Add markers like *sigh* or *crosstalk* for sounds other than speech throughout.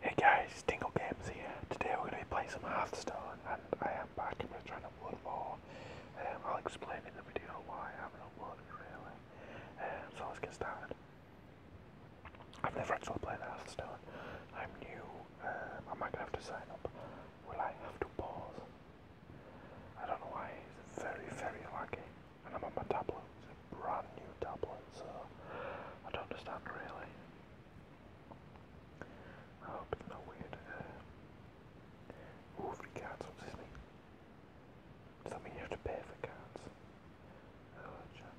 Hey guys, Dingle Games here. Today we're going to be playing some Hearthstone and I am back and we're trying to win more. I'll explain in the video why I haven't uploaded really. Um, so let's get started. I've never actually played Hearthstone. I'm new. am um, I going to have to sign up? Will I have to pause? I don't know why. It's very, very lucky and I'm on my tablet. It's a brand new tablet, so I don't understand really. I hope it's not weird. Uh, free cards, what's this mean? Does that mean you have to pay for cards? What does that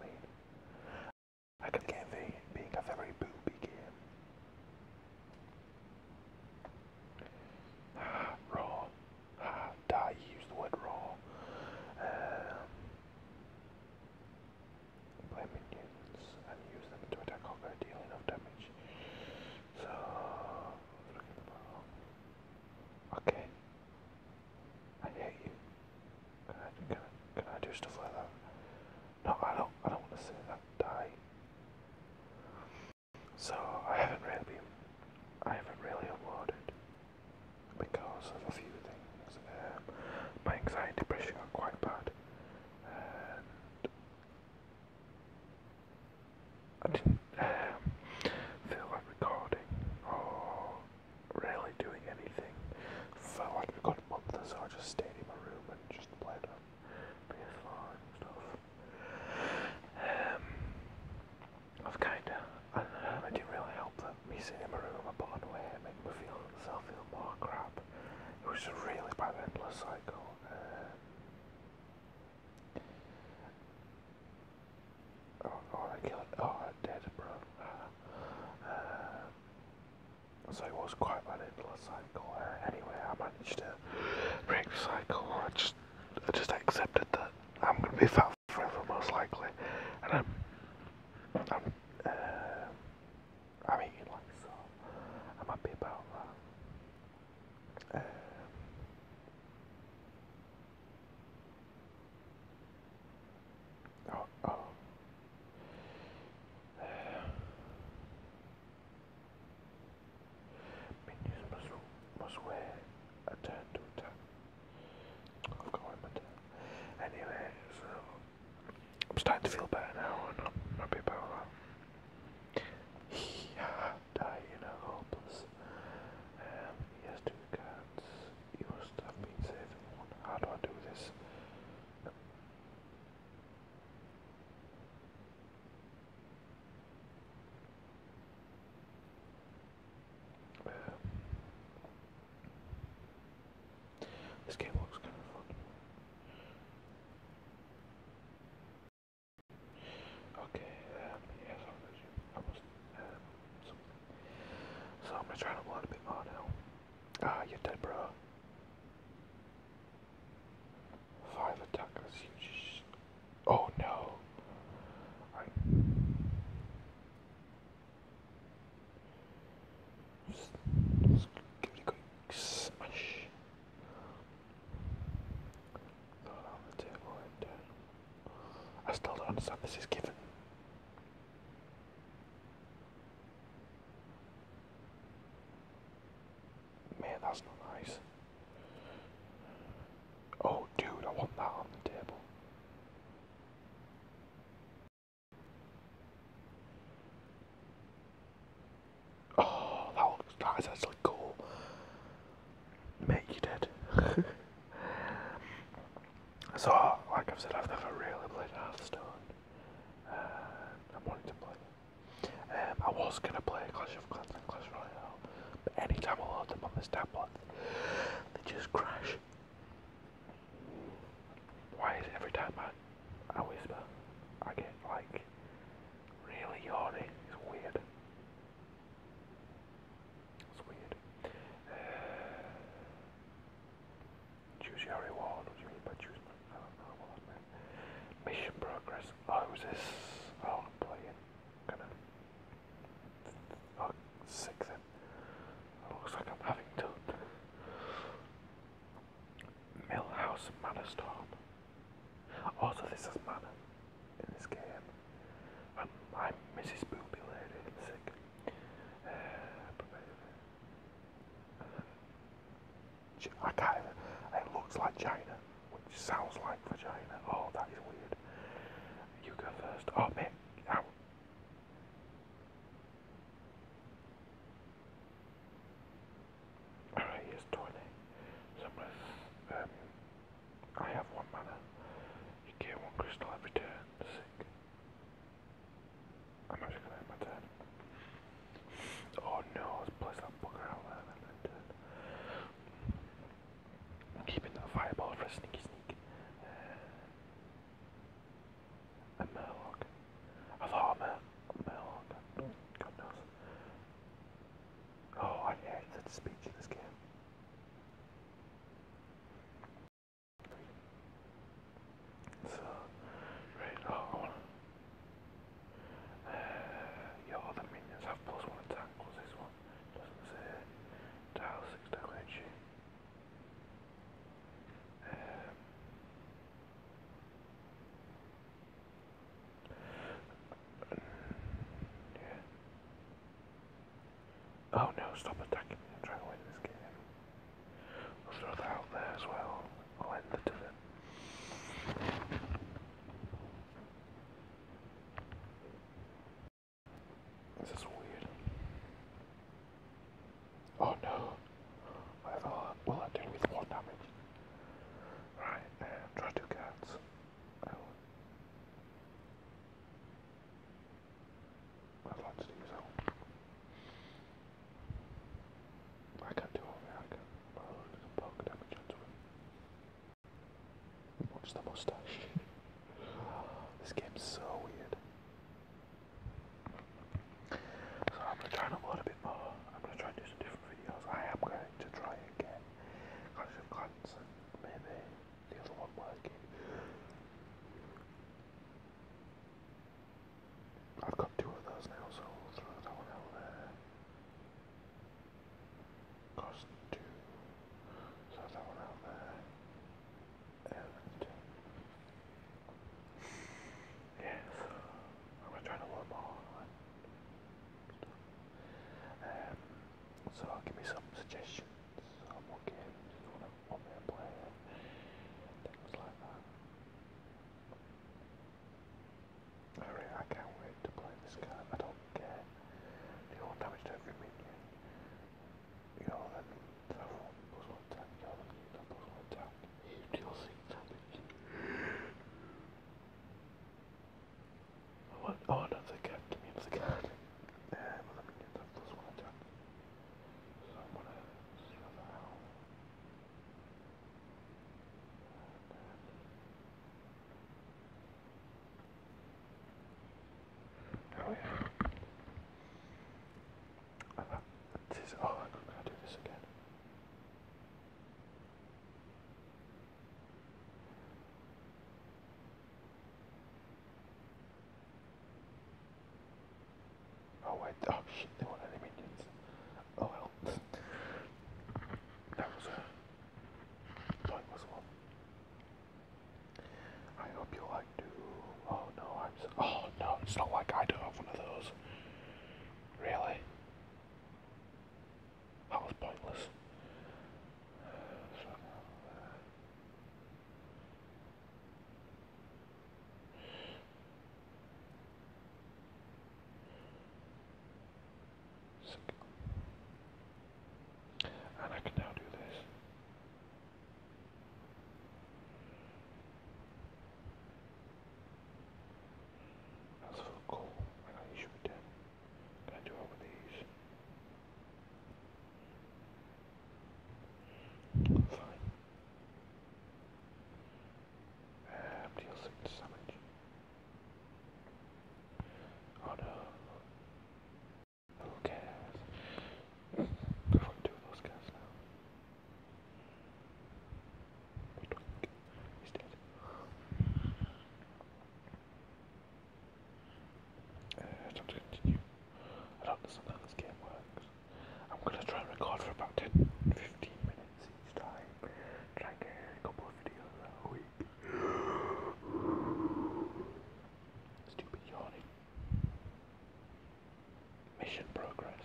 mean? I can get the being a very booby game. *sighs* Raw. Ah, die, he used the word raw. play um, minions and use them to attack Hawkeye, dealing of damage. So, look at the bottom. Okay. I hate you. Can I, can, can I do stuff like that? No, I don't, I don't want to say that. Die. So I haven't really, I haven't really uploaded because of a few things. Um, my anxiety pressure are quite bad, and I didn't um, feel like recording or really doing anything Felt like a good month or so. I just stayed in my room and just played on PS4 and stuff. Um, I've kinda, I don't know, it didn't really help that me sitting in my room upon away made me feel myself feel more crap. It was a really bad endless cycle. Um, oh, oh, I killed, oh, I did, bro. Uh, so it was quite an endless cycle. Uh, anyway, I managed to break the cycle. I I just accepted that I'm going to be fat forever, most likely. And I'm, I'm, uh, I'm eating like so. I'm happy about um, Oh, oh i Anyway, so I'm starting to feel better now and I'm happy about that. He had a hopeless. Um, he has two cards. He must have been saving How do I do this? This game looks kind of fun. Okay, um, um, So I'm gonna try to learn a bit more now. Ah, you dead, bro. Five attackers. Oh no. give it a quick smash. Throw on the table and uh, I still don't understand this is given. Man, that's not nice. Oh, dude, I want that on the table. Oh, that looks, nice. that is actually cool. Mate, you did. *laughs* so, like I've said, I've never really played Hearthstone. Uh, I'm wanting to play it. Um, I was gonna play Clash of Clans and Clash Royale well. But I load them on this tablet, they just crash. Why is it every time I, I whisper, I get like really yawny? It's weird. It's weird. Uh, choose your reward. What do you mean by choose? I don't know what that meant. Mission progress. Oh, is Oh, I'm playing gonna oh, sick then. It looks like I'm having to Millhouse Manor Storm. Also this is Manor in this game. I'm Mrs. Booby Lady sick. Uh, I can't it looks like China which sounds like vagina. Oh, that is weird. You go first. Oh, mate. Ow. Alright, here's 20. Somewhere. Um, I have one mana. You get one crystal every turn. Sick. I'm actually going to end my turn. Oh no, let's place that bugger out there and then turn. Keeping that fireball for a sneaky sneak. Uh, a Murloc. I a, Mur a Murloc. Mm. God knows. Oh, I hate the speech in this game. So, right, oh, uh, *sighs* your other minions have plus one attack, was this one? Doesn't say. Dial 6 um, yeah. Oh no, stop attacking me. I'm trying to win this game. We'll throw that out there as well. I'll end the turn. This is weird. Oh no! I thought, well, I deal with more damage. Alright, try two cats. I would I can do all I can, I can poke damage Watch the mustache. *laughs* this game's so weird. So I'm gonna try and upload a bit more. I'm gonna try and do some different videos. I am going to try again. Clash of Clans maybe the other one working. I've got two of those now, so throw that one out there. Cost two. So that one out there. And yeah, I'm gonna try to load more. Um, so give me some suggestions on what games you wanna play things like that. I, can't wait to play this card. I don't care. Do you damage to every minion? You know, then have one plus another card, give me another card. Um, other minions have plus one attack. So I'm gonna see that out. Oh yeah. I this. Oh, I could not do this again. Oh wait, oh shit, they want any let me do that was a pointless one. I hope you like Oh no, I'm. Oh no, it's not like I do have one of those. Really? That was pointless. And I can now do this. That's cool. I know you should Can I do it with these? Fine. Um, deal six damage. Oh no. Who cares? I've two of those guys now. He's dead. Uh, I don't understand how this game works. I'm gonna try and record for about 10 15 minutes. Stupid yawning. Mission progress.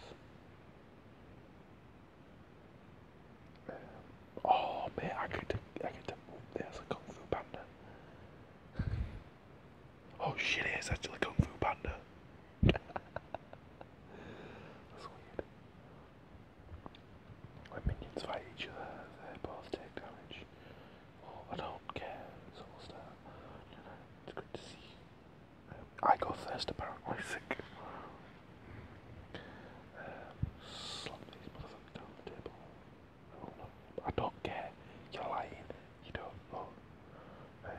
Um, oh man, I could I could move there's a Kung Fu Panda. *laughs* oh shit, it's actually Kung Fu Panda. *laughs* That's weird. When minions fight each other, they both take damage. I don't care, so You know, it's good to see I go first, apparently, sick. slap these motherfuckers down the table. I don't care. You're lying. You don't know. Uh,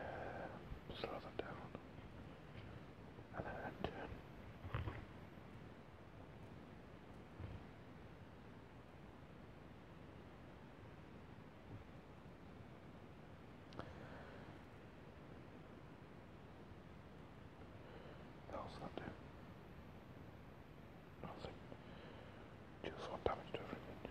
slow them down. And, that do? Nothing. Just one damage to everything.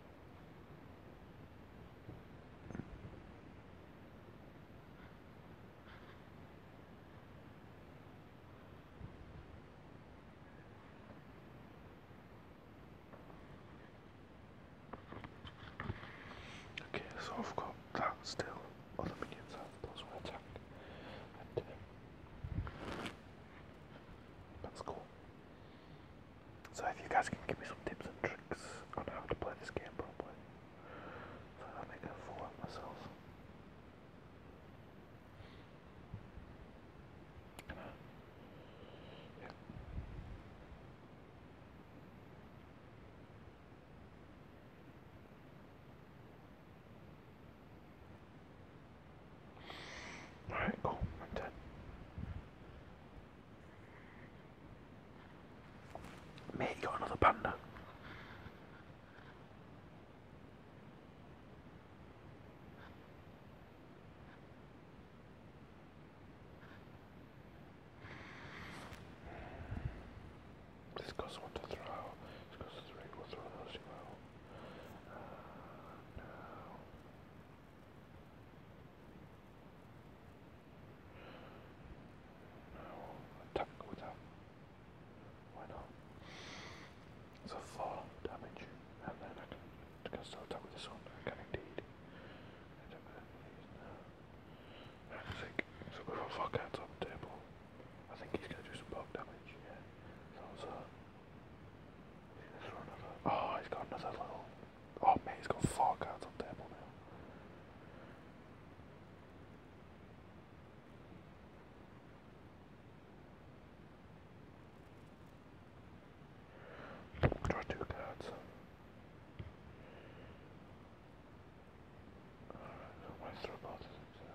Okay, so I've got that still Other the minions up, plus one attack. And, um, that's cool. So if you guys can give me some tips and tricks on how to play this game properly, so I make a fool out myself. Alright, cool, I'm dead. Mate, you got another panda. This costs one to throw. This costs three. We'll throw those two out. Uh, no, attack without. Why not? So 4 damage, and then I can, I can with this one. indeed. I don't Sick. So we've got 4 cards table. I think he's going to do some bulk damage, yeah. So, so. He's going to another. Oh, he's got another little. Oh man, he's got four cards on table now. Draw two cards. Alright, throw both of them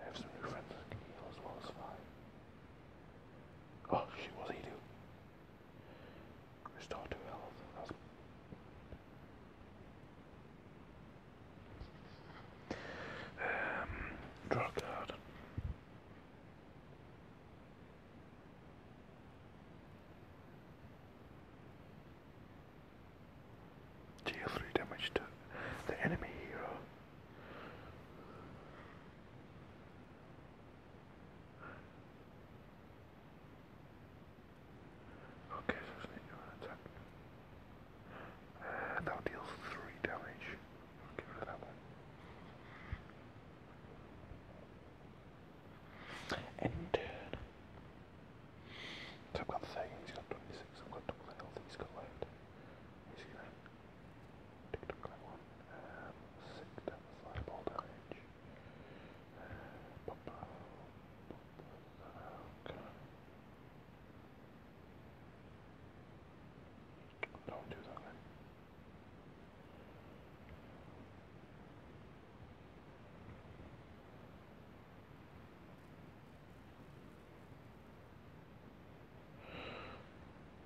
I have some new friends that can heal as well as survive. Oh shit, what did he do? Restore two health. That's um, draw card. Deal 3 damage to the enemy hero. Okay, so sneak one attack. Uh, that deals 3 damage. I'll get that one. End turn. So I've got 13, he's got 26, I've got double health he's got left. He's gonna tick tock one. Um, damage. Uh, Don't do that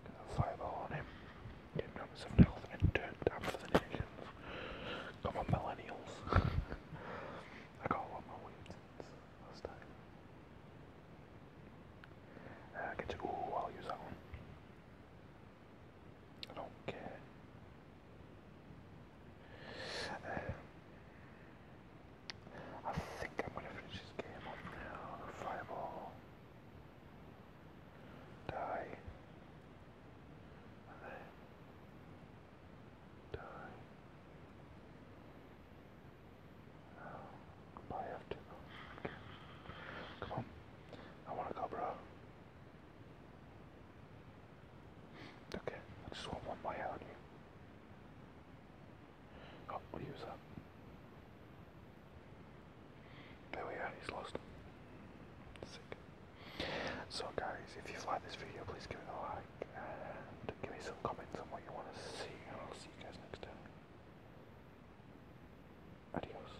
Got a fireball on him. Getting him some health and turned down for the nations. Come on, millennials. *laughs* I got a lot more wins last time. Uh, get to, ooh, I'll use that one. Donc, uh, um, I think I'm gonna finish this game on uh, Fireball. Die. And then. Die. Oh, goodbye, I have to Come on. I wanna go, bro. Okay, I just want one way out of you. Oh, we'll use that. There we are, he's lost. Sick. So guys, if you've this video, please give it a like and give me some comments on what you want to see and I'll see you guys next time. Adios.